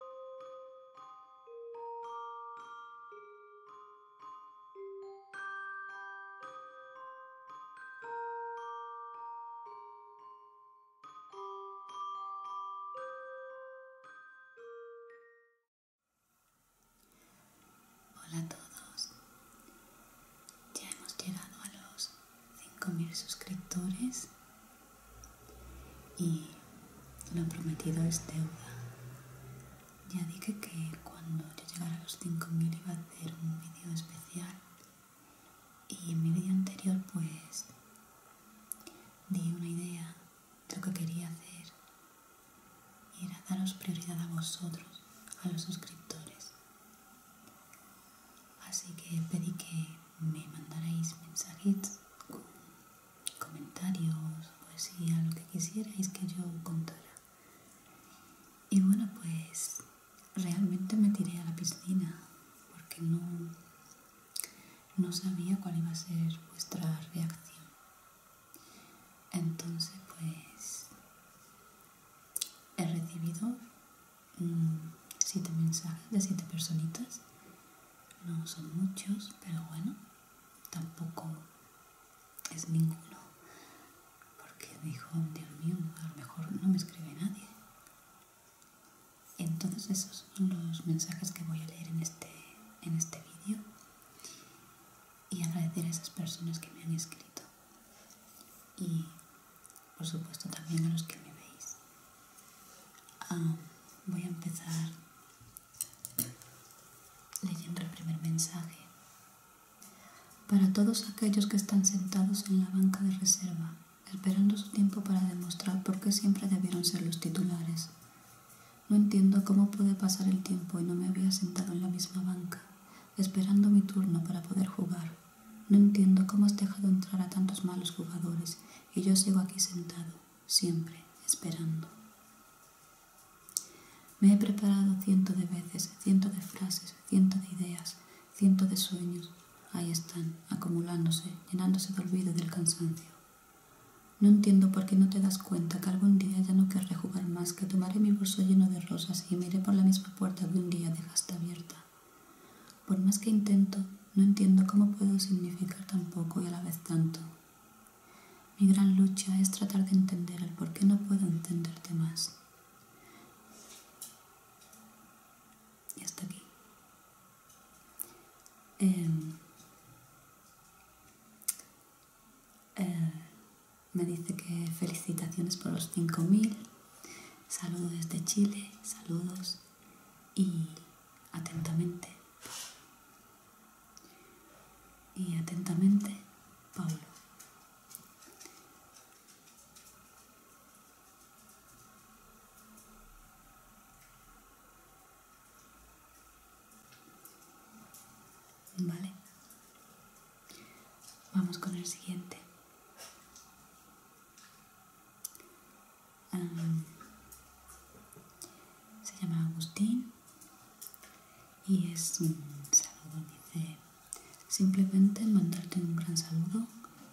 Hola a todos. Ya hemos llegado a los 5.000 suscriptores y lo prometido es deuda. Ya dije que cuando yo llegara a los 5.000 iba a hacer un vídeo especial. Y en mi vídeo anterior pues di una idea de lo que quería hacer. Y era daros prioridad a vosotros, a los suscriptores. Así que pedí que me mandaréis mensajes comentarios, poesía, lo que quisierais que yo contara. Y bueno, pues realmente me tiré a la piscina porque no, no sabía cuál iba a ser vuestra reacción. Entonces, pues he recibido Mm, siete mensajes de siete personitas. No son muchos, pero bueno, tampoco es ninguno. Porque dijo, Dios mío, a lo mejor no me escribe nadie. Entonces esos son los mensajes que voy a leer en este, en este vídeo. Y agradecer a esas personas que me han escrito. Y por supuesto también a los que me veis. Ah, voy a empezar leyendo el primer mensaje. Para todos aquellos que están sentados en la banca de reserva, esperando su tiempo para demostrar por qué siempre debieron ser los titulares. No entiendo cómo pude pasar el tiempo y no me había sentado en la misma banca, esperando mi turno para poder jugar. No entiendo cómo has dejado entrar a tantos malos jugadores y yo sigo aquí sentado, siempre, esperando. Me he preparado cientos de veces, cientos de frases, cientos de ideas, cientos de sueños. Ahí están, acumulándose, llenándose de olvido y del cansancio. No entiendo por qué no te das cuenta que algún día ya no querré jugar más, que tomaré mi bolso lleno de rosas y miré por la misma puerta que un día dejaste abierta. Por más que intento, no entiendo cómo puedo significar tan poco y a la vez tanto. Mi gran lucha es tratar de entender el por qué no puedo entenderte más. Y hasta aquí. Em, eh, me dice que felicitaciones por los 5.000. Saludos desde Chile. Saludos y atentamente, y atentamente, Pablo. Vale. Vamos con el siguiente se llama Agustín y es un saludo, dice, simplemente mandarte un gran saludo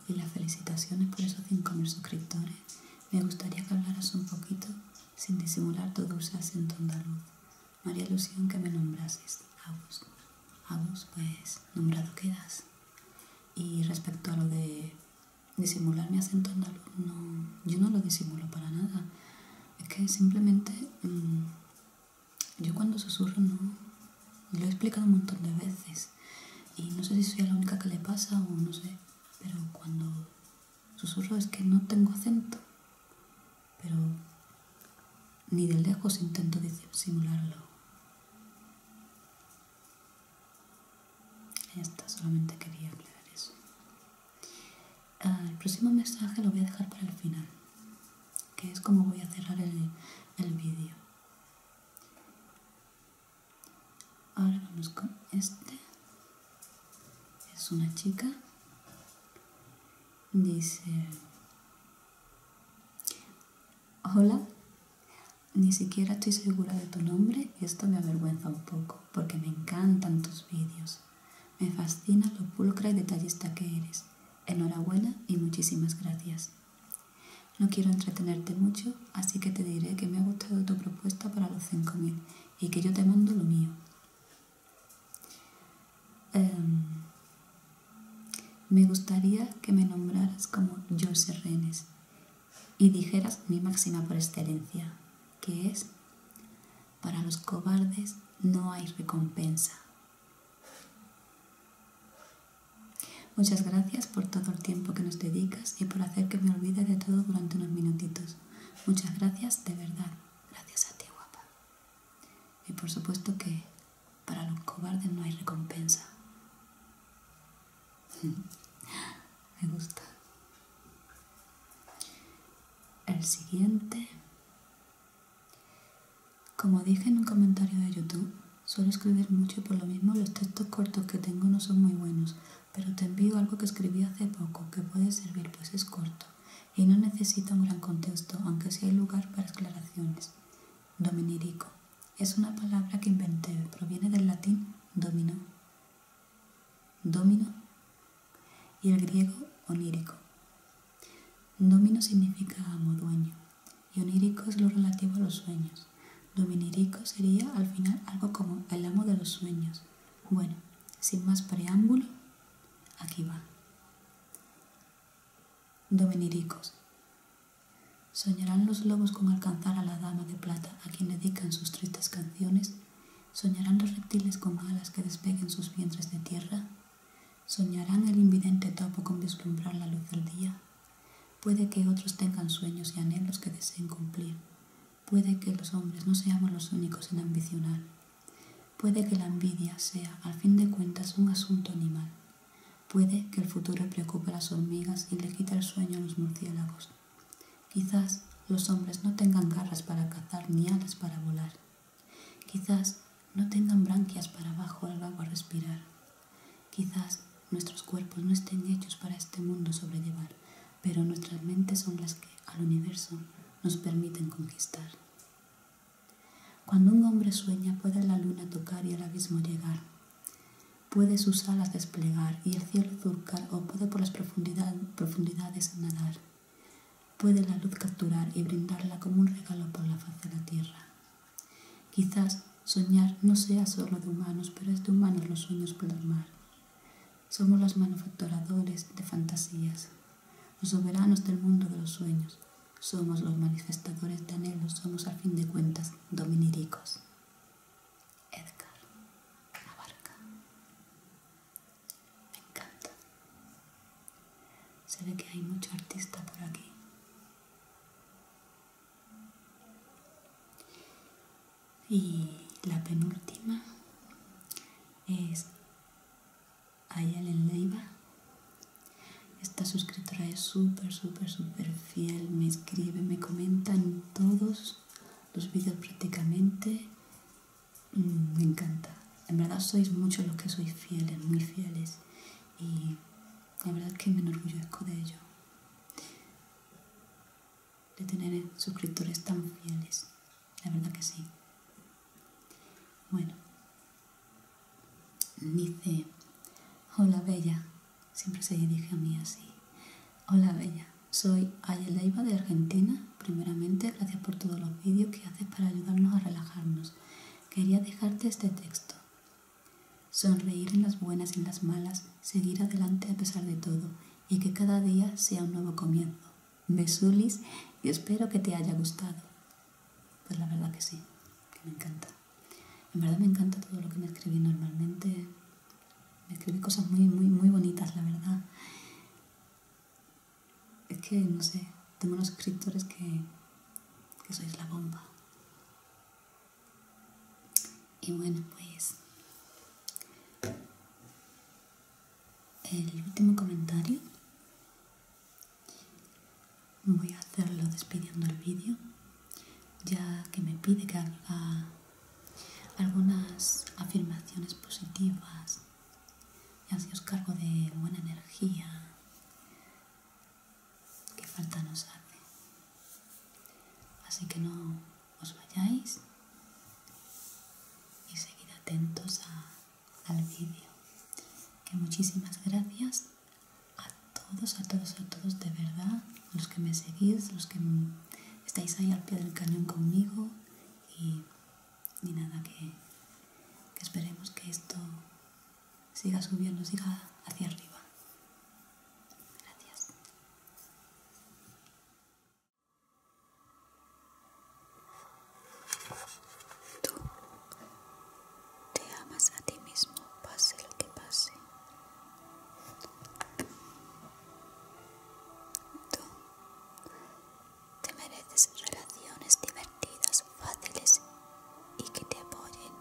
y las felicitaciones por esos mil suscriptores. Me gustaría que hablaras un poquito sin disimular tu dulce acento andaluz. María ilusión que me nombrases. Agus. Agus, pues nombrado quedas. Y respecto a lo de disimular mi acento andaluz, no, yo no lo disimulo para nada. Es que simplemente mm, yo cuando susurro no lo he explicado un montón de veces. Y no sé si soy la única que le pasa o no sé, pero cuando susurro es que no tengo acento. Pero ni de lejos intento disimularlo solamente quería eso. Ah, el próximo mensaje lo voy a dejar para el final, que es como voy a cerrar el, el vídeo. Ahora vamos con este. Es una chica. Dice, Hola, ni siquiera estoy segura de tu nombre y esto me avergüenza un poco, porque me encantan tus vídeos. Me fascina lo pulcra y detallista que eres. Enhorabuena y muchísimas gracias. No quiero entretenerte mucho, así que te diré que me ha gustado tu propuesta para los 5.000 y que yo te mando lo mío. Em, me gustaría que me nombraras como Jose Renes y dijeras mi máxima por excelencia, que es, para los cobardes no hay recompensa. Muchas gracias por todo el tiempo que nos dedicas y por hacer que me olvide de todo durante unos minutitos. Muchas gracias, de verdad. Gracias a ti, guapa. Y por supuesto que para los cobardes no hay recompensa. Me gusta. El siguiente. Como dije en un comentario de YouTube, suelo escribir mucho y por lo mismo los textos cortos que tengo no son muy buenos, pero te envío algo que escribí hace poco que puede servir pues es corto y no necesita un gran contexto, aunque sí hay lugar para aclaraciones Dominirico es una palabra que inventé, proviene del latín domino, domino y el griego onírico. Domino significa amo, dueño, y onírico es lo relativo a los sueños. Dominirico sería al final algo como el amo de los sueños. Bueno, sin más preámbulo, aquí va. Doveniricos, Soñarán los lobos con alcanzar a la dama de plata a quien dedican sus tristes canciones. Soñarán los reptiles con alas que despeguen sus vientres de tierra. Soñarán el invidente topo con vislumbrar la luz del día. Puede que otros tengan sueños y anhelos que deseen cumplir. Puede que los hombres no seamos los únicos en ambicionar. Puede que la envidia sea, al fin de cuentas, un asunto animal. Puede que el futuro preocupe a las hormigas y le quite el sueño a los murciélagos. Quizás los hombres no tengan garras para cazar ni alas para volar. Quizás no tengan branquias para bajo el agua respirar. Quizás nuestros cuerpos no estén hechos para este mundo sobrellevar, pero nuestras mentes son las que al universo nos permiten conquistar. Cuando un hombre sueña puede la luna tocar y el abismo llegar. Puede sus alas desplegar y el cielo surcar o puede por las profundidades nadar. Puede la luz capturar y brindarla como un regalo por la faz de la tierra. Quizás soñar no sea solo de humanos, pero es de humanos los sueños por el mar. Somos los manufacturadores de fantasías los soberanos del mundo de los sueños. Somos los manifestadores de anhelos, somos al fin de cuentas dominiricos. Edgar Abarca. Me encanta. Se ve que hay mucho artista por aquí. Y la penúltima es en Leiva. Esta suscriptora es súper, súper, súper fiel. Me escribe, me comenta en todos los vídeos prácticamente. Mm, me encanta. En verdad sois muchos los que sois fieles, muy fieles. Y la verdad es que me enorgullezco de ello. De tener suscriptores tan fieles la verdad que sí. Bueno, dice, hola Bella, siempre se dirige a mí así. Hola Bella, soy Ayeleiva de Argentina. Primeramente, gracias por todos los vídeos que haces para ayudarnos a relajarnos. Quería dejarte este texto. Sonreír en las buenas y en las malas, seguir adelante a pesar de todo, y que cada día sea un nuevo comienzo. Besulis y espero que te haya gustado. Pues la verdad que sí, que me encanta. En verdad me encanta todo lo que me escribí normalmente. Me escribí cosas muy, muy, muy bonitas, la verdad. Es que, no sé, tengo unos escritores que, que sois la bomba. Y bueno, pues el último comentario. Voy a hacerlo despidiendo el vídeo, ya que me pide que haga algunas afirmaciones positivas y así os cargo de buena energía que falta nos hace. Así que no os vayáis y seguid atentos al vídeo. Que muchísimas gracias a todos, a todos, a todos de verdad, los que me seguís, los que estáis ahí al pie del cañón conmigo y, ni nada, que esperemos que esto siga subiendo, siga hacia arriba. Gracias. Tú te amas a ti mismo, pase lo que pase. Tú te mereces relaciones divertidas, fáciles y que te apoyen.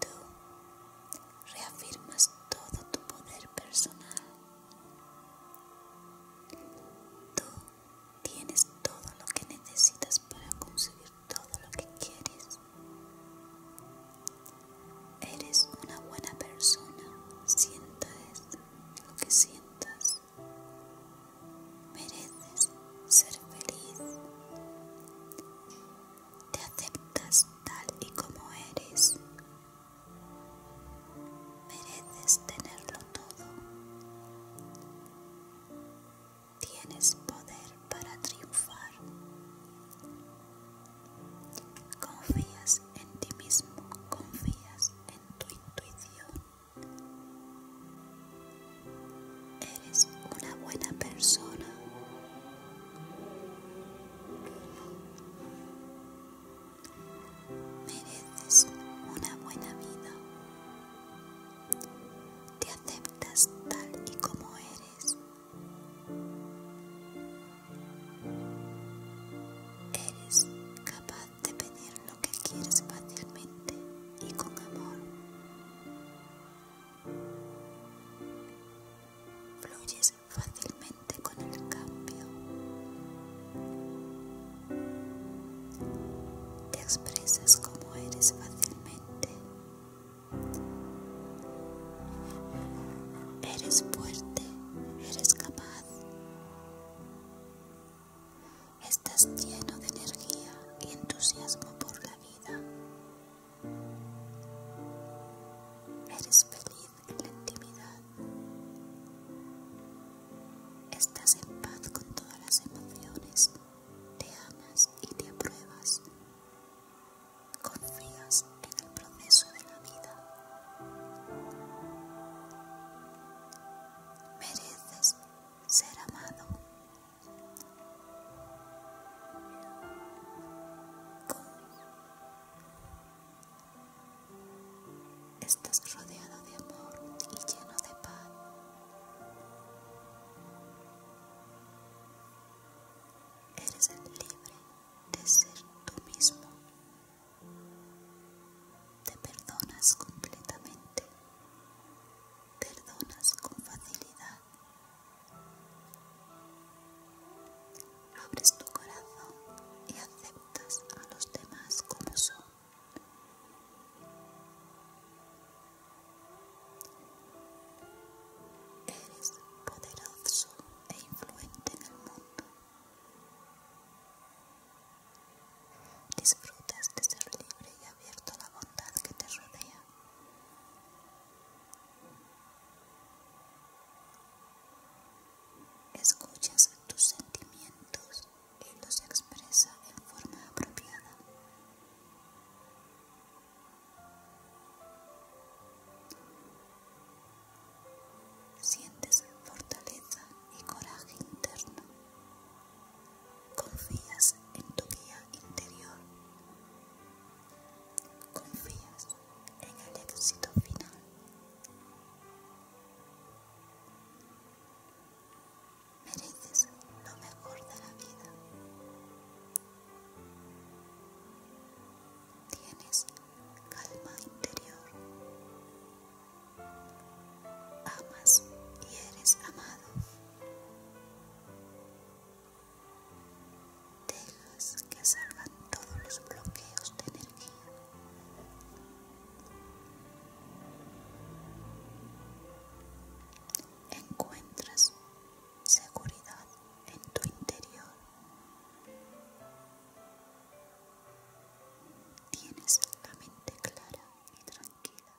Tú reafirmas todo tu poder personal. Tú tienes todo lo que necesitas para conseguir todo lo que quieres. Eres una buena persona, Sientes lo que sientas. Mereces ser feliz. Te aceptas tal y como eres. Mereces tenerlo todo. Tienes poder para triunfar. Confías en ti mismo, confías en tu intuición. Eres una buena persona. Mereces una buena vida. Te aceptas tal y como eres. Eres capaz de pedir lo que quieres fácilmente y con amor fácilmente con el cambio. Te expresas como eres fácilmente. Eres fuerte, eres capaz. Estás lleno de energía y entusiasmo por la vida. Eres feliz en la intimidad. Estás en paz con todas las emociones. Te amas y te apruebas. Confías en el proceso de la vida. Mereces ser amado. Estás rodeado de amor y lleno de paz. Eres libre de ser tú mismo. Te perdonas completamente. Perdonas con facilidad. Abres tu corazón y aceptas a los demás como son. Eres poderoso e influente en el mundo. Disfrutas de ser libre y abierto a la bondad que te rodea. Escuchas tus sentimientos y los expresa en forma apropiada. Sientes fortaleza y coraje interno. Confías en tu guía interior confías en el éxito final. Mereces lo mejor de la vida. Tienes calma interior. Amas y eres amado. Dejas que salvan todos los bloqueos de energía. Encuentras seguridad en tu interior. Tienes la mente clara y tranquila.